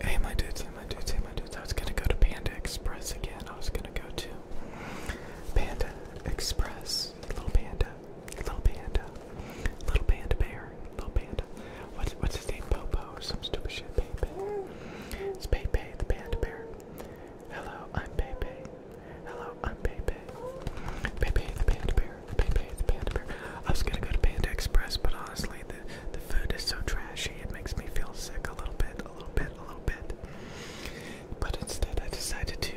Hey my dudes, hey my dudes, hey my dudes. I was gonna go to Panda Express again. I was gonna go to Panda Express. Little panda. Little panda. Little panda bear. Little panda. What's his name? Popo or some stupid shit. Pepe. It's Pepe, the panda bear. Hello, I'm Pepe. Hello, I'm Pepe. Pepe the panda bear. Pepe the panda bear. I was gonna go to Panda Express, but honestly the, the food is so trashy, it makes me feel sick a little bit, a little bit, a little bit. But instead, I decided to.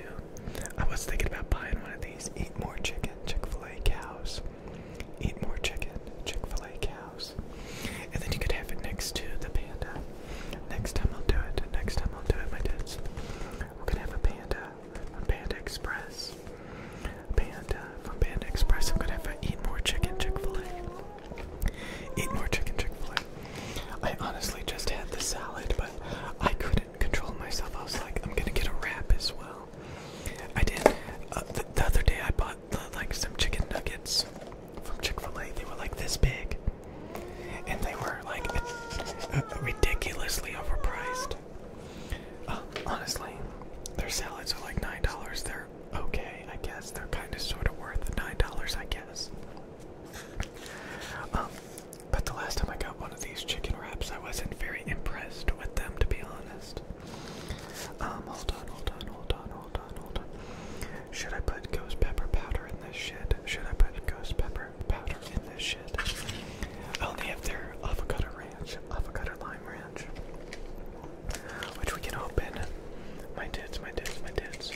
I was thinking about buying one of these Eat More Chicken Chick fil A cows. Eat More Chicken Chick fil A cows. And then you could have it next to the panda. Next time I'll do it. Next time I'll do it, my dudes. We're gonna have a panda from Panda Express. Panda from Panda Express. I'm gonna have to eat more chicken Chick-fil-A. Eat more chicken Chick-fil-A. I honestly just had the salad, but I couldn't control myself. I was like, I'm gonna get a wrap as well. I did. Uh, the, other day I bought like some chicken nuggets from Chick-fil-A. They were like this big, and they were like ridiculously overpriced. Uh, honestly, their salads are like nine dollars. They're okay, I guess. They're kind of sort of worth nine dollars, I guess. um, but the last time I got one of these chicken wraps, I wasn't very impressed with them, to be honest. Um, hold on, hold on, hold on, hold on, hold on. Should I put ghost pepper powder in this shit? Should I put ghost pepper powder in this only have their avocado ranch, avocado lime ranch, which we can open. My tits, my tits, my tits.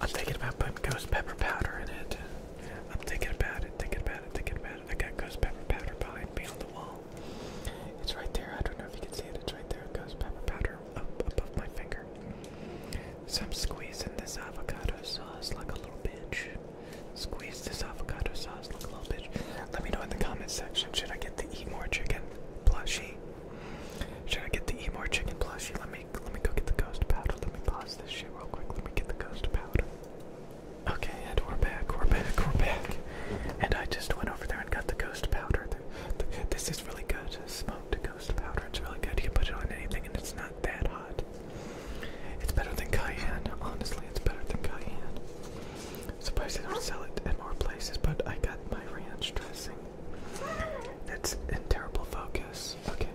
I'm thinking about putting ghost pepper powder in it. I'm thinking about it, thinking about it, thinking about it. I got ghost pepper powder behind me on the wall. It's right there. I don't know if you can see it. It's right there. Ghost pepper powder up above my finger. So I'm squeezing this avocado sauce like a little bitch. Squeeze this avocado sauce Look a little bitch. Let me know in the comment section. Should I get the eat more chicken plushie? Should I get the eat more chicken plushie? Let me let me go get the ghost powder. Let me pause this shit real quick. Let me get the ghost powder. Okay, and we're back. We're back. We're back. And I just went over there and got the ghost powder. this is really good. Smoked ghost powder. It's really good. You can put it on anything, and it's not not that hot. It's better than cayenne. Honestly, it's better than cayenne. Surprised they don't sell it at more places, but I got my ranch dressing. That's in terrible focus. Okay.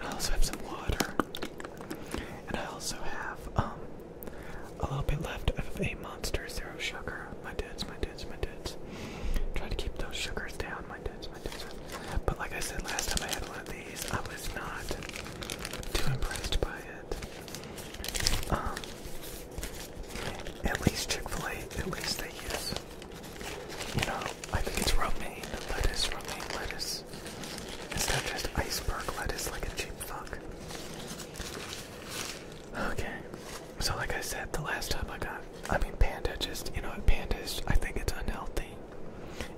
I also have some water. And I also have um a little bit left of a monster zero sugar. My dudes, my dudes, my dudes. Try to keep those sugars down, my dudes. But like I said last time I had one of these, I was not too impressed by it. Um, at least Chick-fil-A, at least they use, you know, I think it's romaine lettuce, romaine lettuce. It's not just iceberg lettuce like a cheap fuck. Okay, so like I said, the last time I got, I mean, Panda just, you know, Panda's. I think it's unhealthy.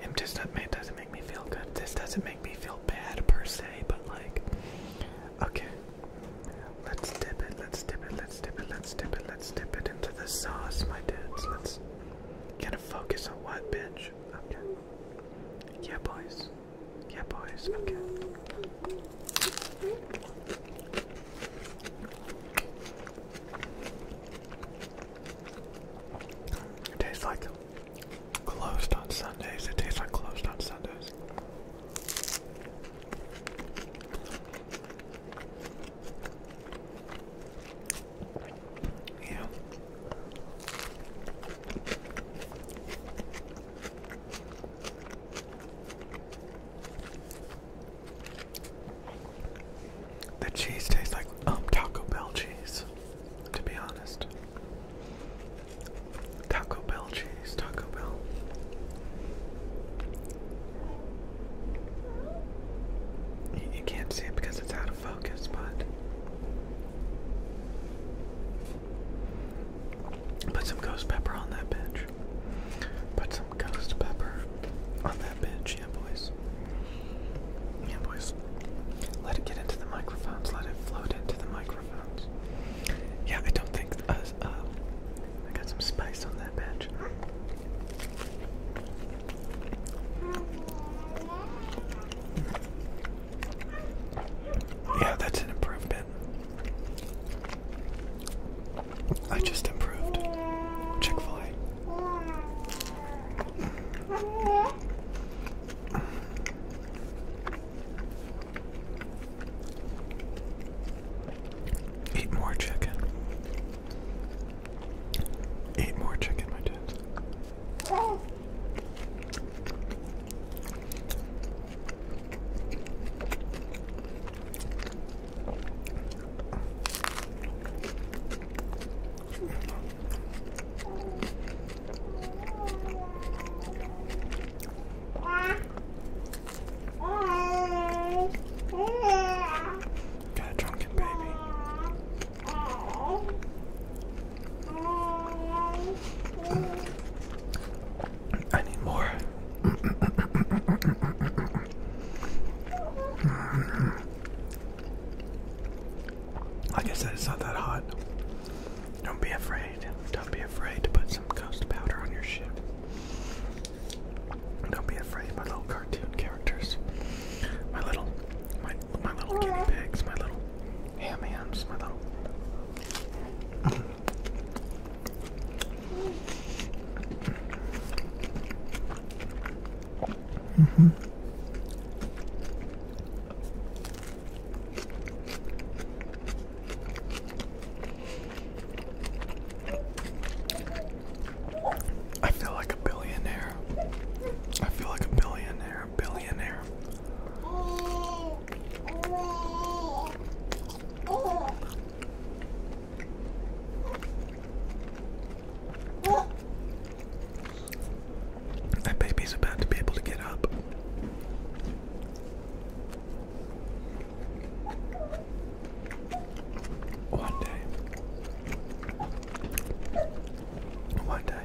It just it doesn't make me feel good. This doesn't make me feel bad per se, but like, okay. Let's dip it, let's dip it, let's dip it, let's dip it, let's dip it into the sauce, my dudes. Let's get a focus on what, bitch? Okay. Yeah, boys. Yeah, boys. Okay. It tastes like closed on Sundays. It tastes like closed on Sundays. Yeah. The cheese tastes like um Taco Bell cheese, to be honest. Taco Bell cheese, Taco Bell. You, can't see it because it's out of focus, but put some ghost pepper on that bitch. Put some ghost pepper on that bitch, yeah, boys. Yeah, boys. Let it get into the microphones. Let it float into the microphones. Yeah, I don't think uh, uh, I got some spice on that bitch. Yeah, that's an improvement. I just improved. Chick fil A. Eat more chicken. Eat more chicken, my dudes. Got a drunken baby. I need more. Like I said, it's not that hot. Don't be afraid. Don't be afraid to put some ghost powder on your ship. Don't be afraid, my little cartoon characters. My little my my little guinea pigs, my little ham hams, my little Mm I feel like a billionaire. I feel like a billionaire, billionaire. Oh. That baby's about to be able to get up. One day. One day.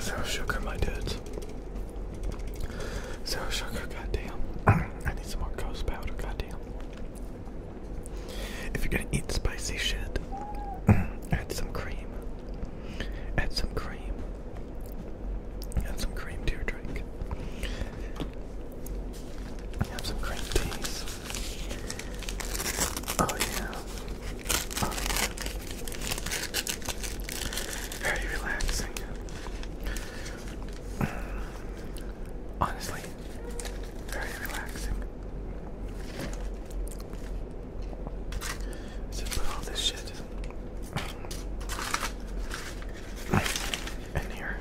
Zero sugar, my dudes. Zero sugar, goddamn. I need some more ghost powder, goddamn. If you're gonna eat spicy shit, add some cream. Add some cream. Add some cream to your drink. Have some cream teas. Oh yeah. Very relaxing. Honestly, very relaxing. Just put all this shit in here.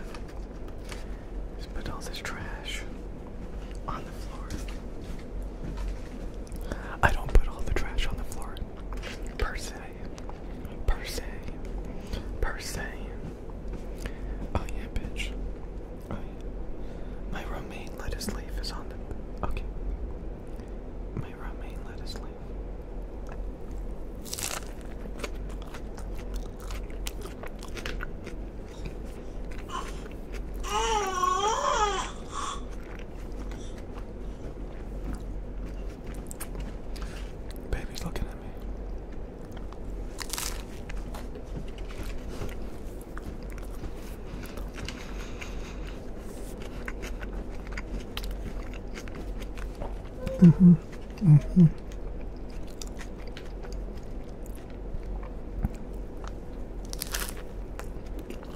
Just put all this trash on the floor. I don't put all the trash on the floor per se, per se, per se. Oh yeah, bitch. Oh yeah. My roommate let us is on the. Okay. My roommate let us Baby's looking at me. Mm-hmm. Mm-hmm.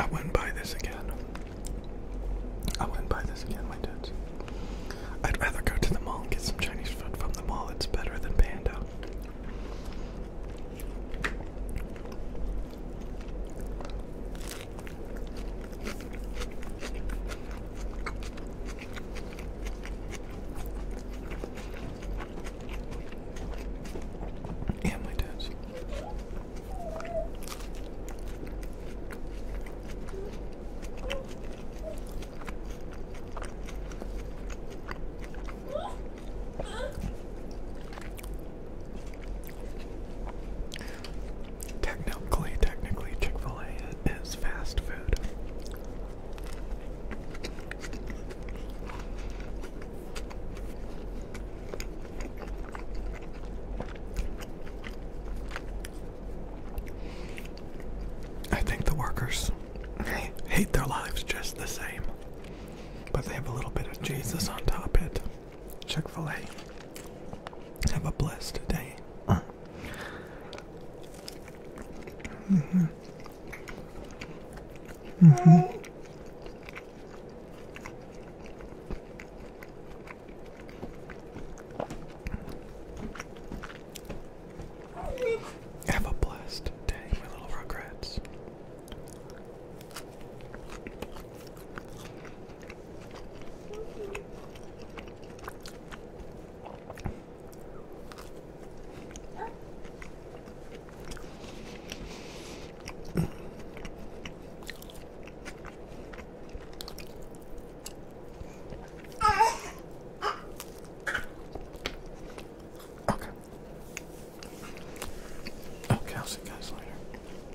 I wouldn't buy this again. I wouldn't buy this again, my dudes. I'd rather go to the mall and get some Chinese food from the mall. It's better than Panda. Yeah, my dad's. Technically, technically, Chick-fil-A is fast food. I think the workers hate their lives just the same, but they have a little bit of Jesus on top of it. Chick fil A. Have a blessed day. hmm. hmm. Have a blessed day, little regrets. Okay, I'll see you guys later.